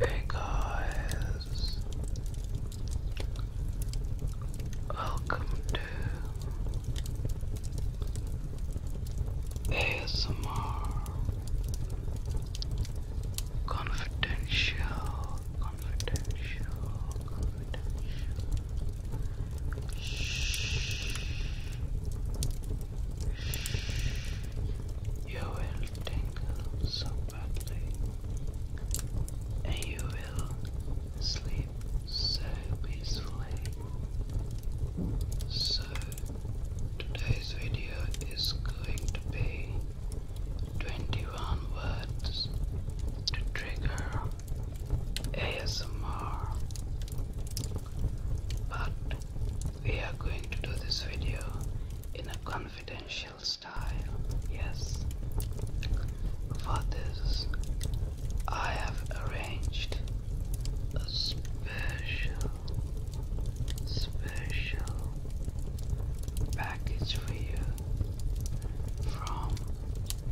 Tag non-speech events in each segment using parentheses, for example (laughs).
Hey guys, welcome to ASMR Confidential. Confidential. Confidential. Shh. Shh. You will tingle so badly, and you will sleep so peacefully. So, today's video is going to be 21 words to trigger ASMR. But we are going to do this video in a confidential style, yes. For this, I have arranged a special, special package for you from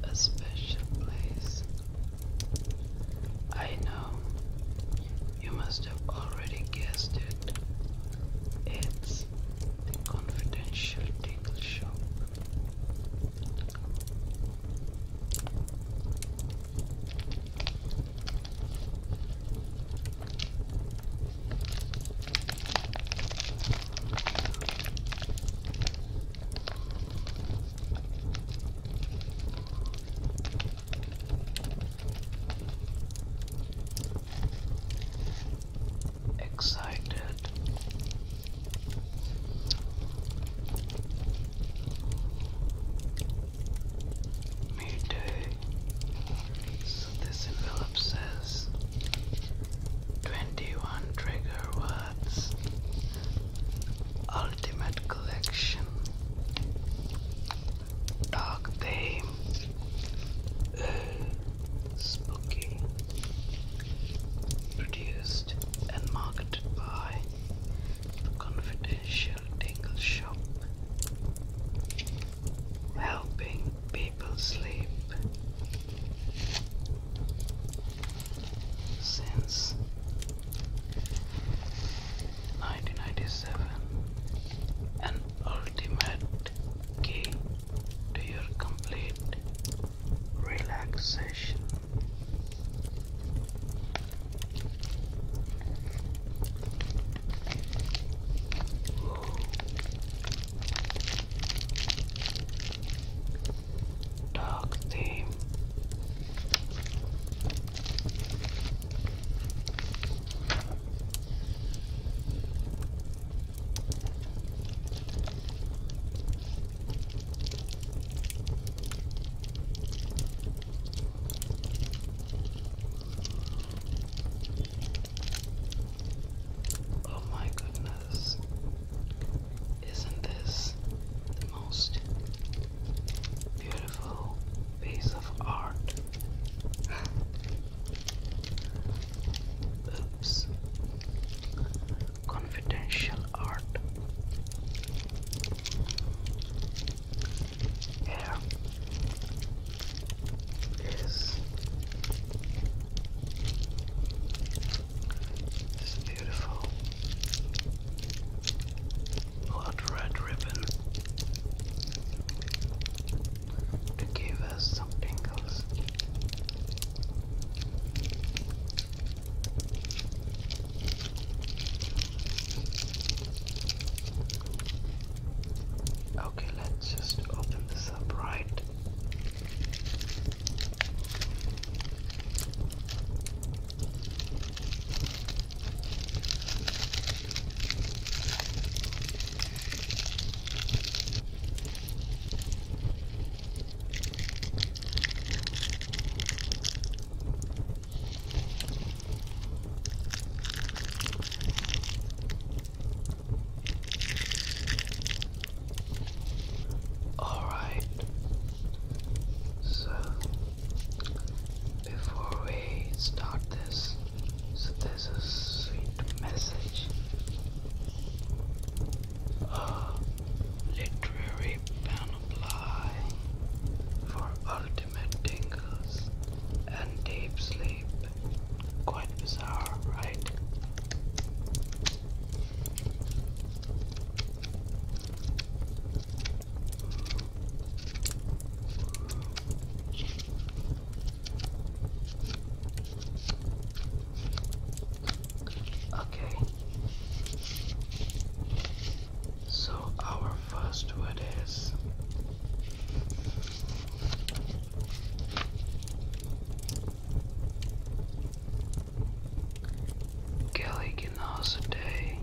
a special place. I know you must have already guessed it. It's the confidential tickle Show. Excited. Me this envelope says 21 trigger words ultimate collection dark theme spooky produced and marketed by confidential tingle shop helping people sleep since 1997 an ultimate key to your complete relaxation dark theme. Oh my goodness. Isn't this the most beautiful piece of art? (laughs) Oops. Confidential art. Here, is this beautiful blood red ribbon to give us some tingles. Okay, let's just open this up right. Alright, so before we start this, so there's a sweet message. A literary panoply for ultimate tingles and deep sleep. Quite bizarre, right? Okay. So our first word is Kelly can Galliganosidae a day.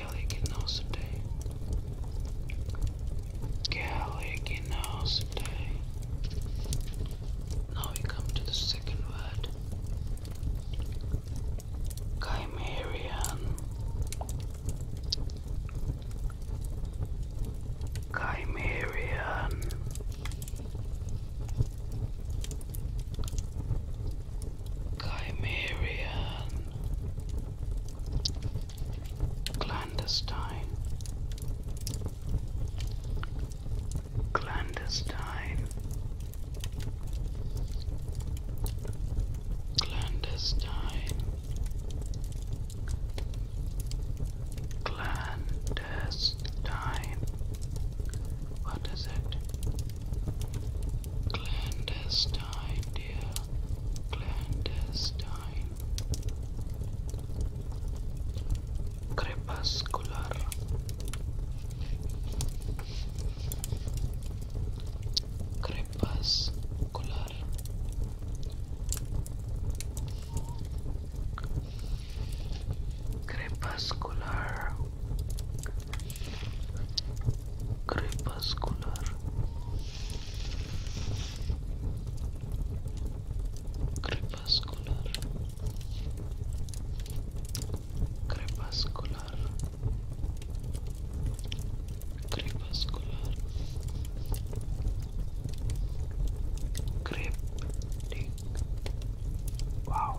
Galliginosidae. Galliginosidae. Now we come to the second word. Chimerian. Chimerian. Chimerian, clandestine, clandestine, clandestine, clandestine. What is it? Clandestine, dear. Clandestine. Crepuscular. Crepuscular. Crepuscular crepuscular crepuscular crepuscular crepuscular cryptic wow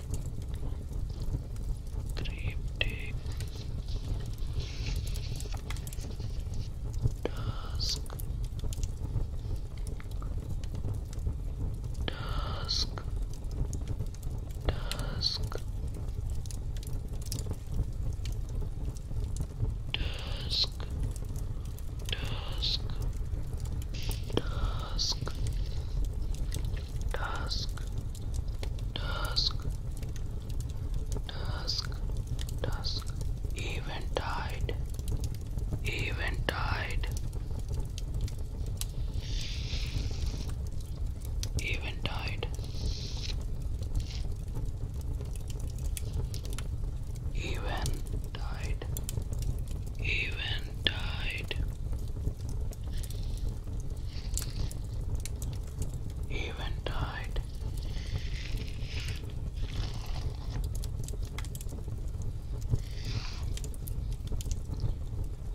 Cryptic Task Task Task Task Task Task Task dusk, dusk, dusk, eventide, eventide, eventide, eventide, eventide even tied.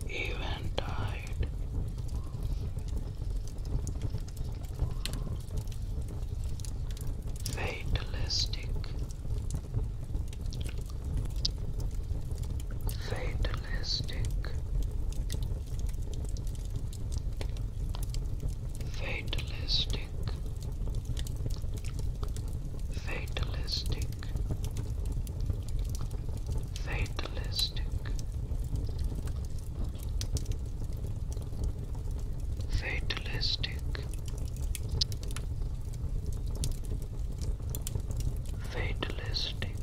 Even tied. Fatalistic fatalistic fatalistic fatalistic fatalistic fatalistic fatalistic,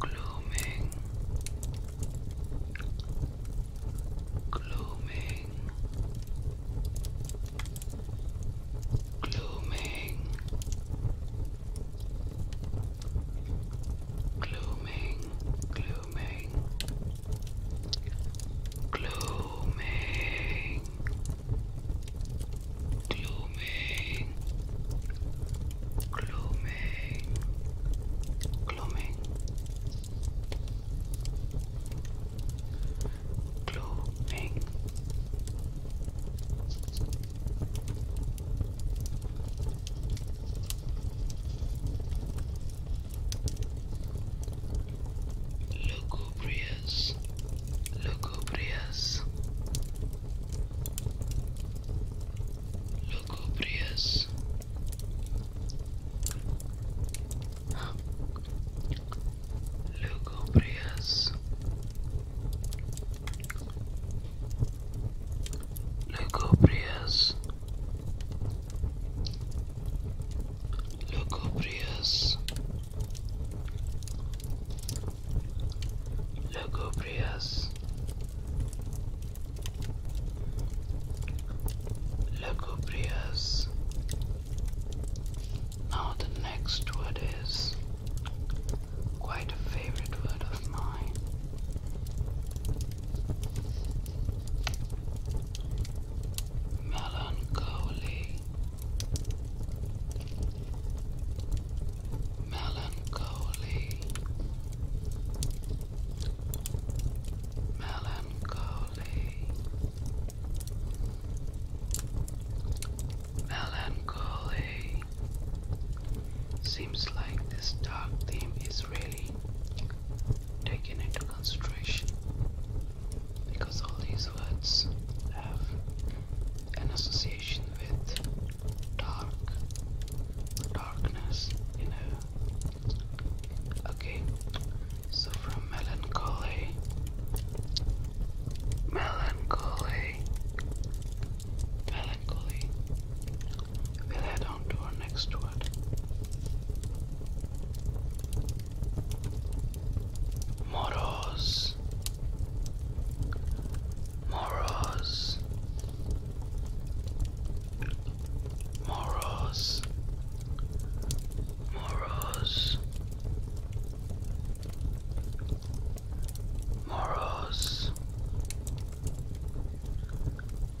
glooming, glooming, glooming, glooming, glooming. Glooming, Glooming, glooming, glooming, glooming, lugubrious, lugubrious, lugubrious. Lugubrious, lugubrious, lugubrious, lugubrious lugubrious now the next word is quite a favorite word of mine melancholy melancholy, melancholy, melancholy. Seems like this dark theme is really taken into consideration because all these words have an association with dark, darkness, you know. Okay, so from melancholy, melancholy, melancholy, we'll head on to our next word. Moros. Moros. Moros. Moros. Moros.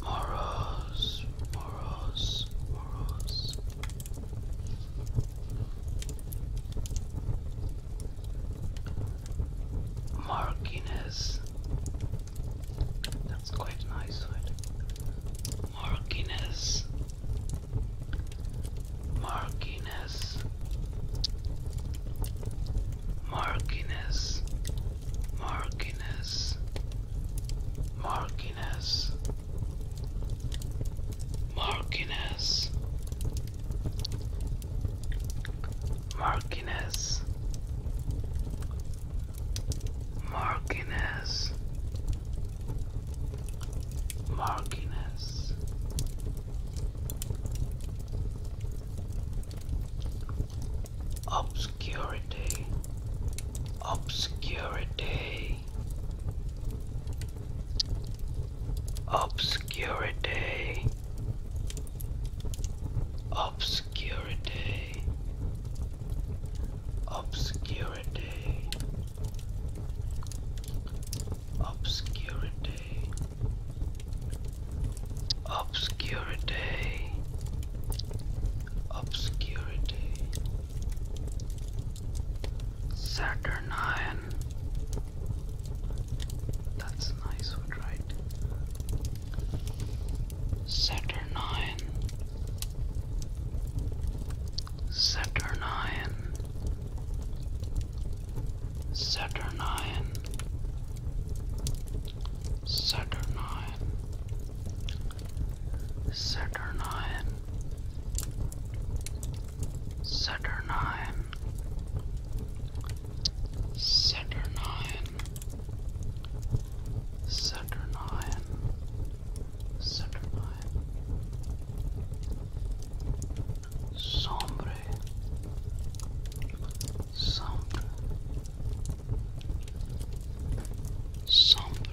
Moros. Moros. Moros. Markiness. That's quite nice, right? Marquinez. Marquinez. Marquinez. Marquinez. Marquinez. Marquinez, Marquinez, Marquinez, Marquinez, Obscurity, Obscurity obscurity obscurity obscurity obscurity obscurity obscurity Saturnine. That's a nice one, right? Saturnine. Saturnine. Saturnine. Saturnine. Saturnine. Saturnine, nine. Saturnine, Saturnine, Sombre, Sombre, Sombre.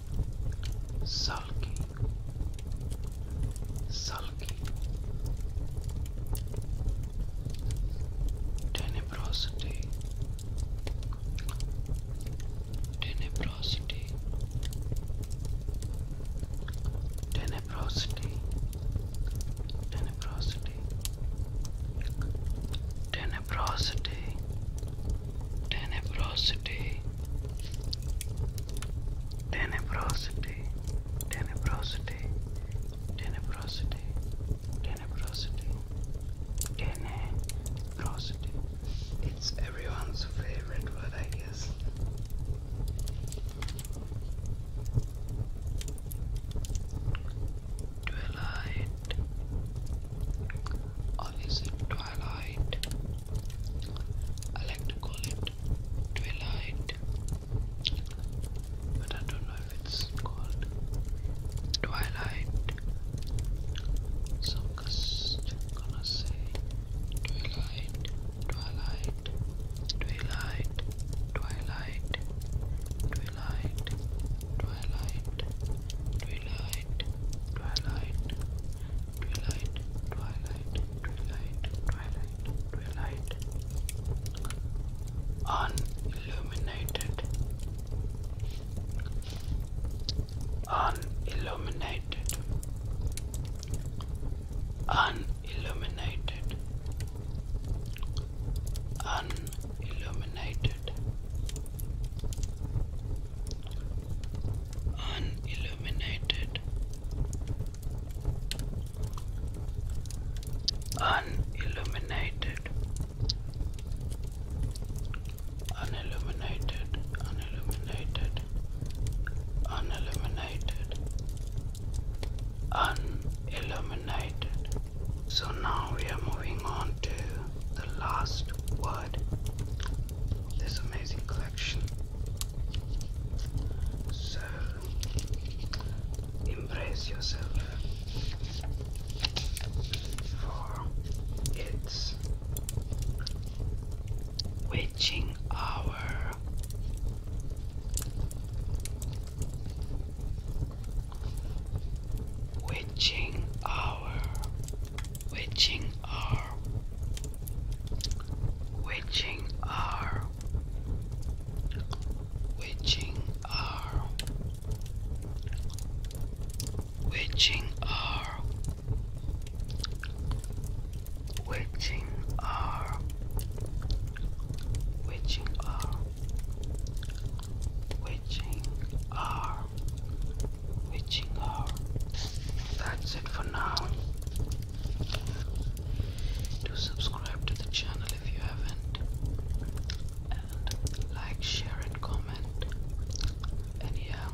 sulky, sulky, tenebrosity, tenebrosity, tenebrosity, tenebrosity, tenebrosity, tenebrosity. Tenebrosity, tenebrosity, tenebrosity, tenebrosity, tenebrosity. It's everyone's favorite word, I guess. Twilight, or is twilight? twilight. I like to call it twilight, but I don't know if it's called twilight. So I'm just gonna say twilight, twilight, twilight, twilight, twilight, twilight, twilight, twilight twilight, twilight, twilight, twilight, twilight, unilluminated, unilluminated, unilluminated, unilluminated unilluminated unilluminated unilluminated unilluminated unilluminated unilluminated so now we are moving on to the last word this amazing collection. So, embrace yourself for its witching hour. Witching hour witching hour, witching hour, witching hour, witching hour, witching hour, witching hour, witching hour. That's it for now. Do subscribe to the channel if you haven't, and like, share, and comment. And yeah,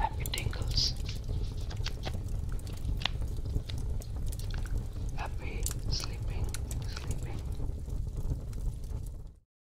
happy tingles, happy sleeping, sleeping.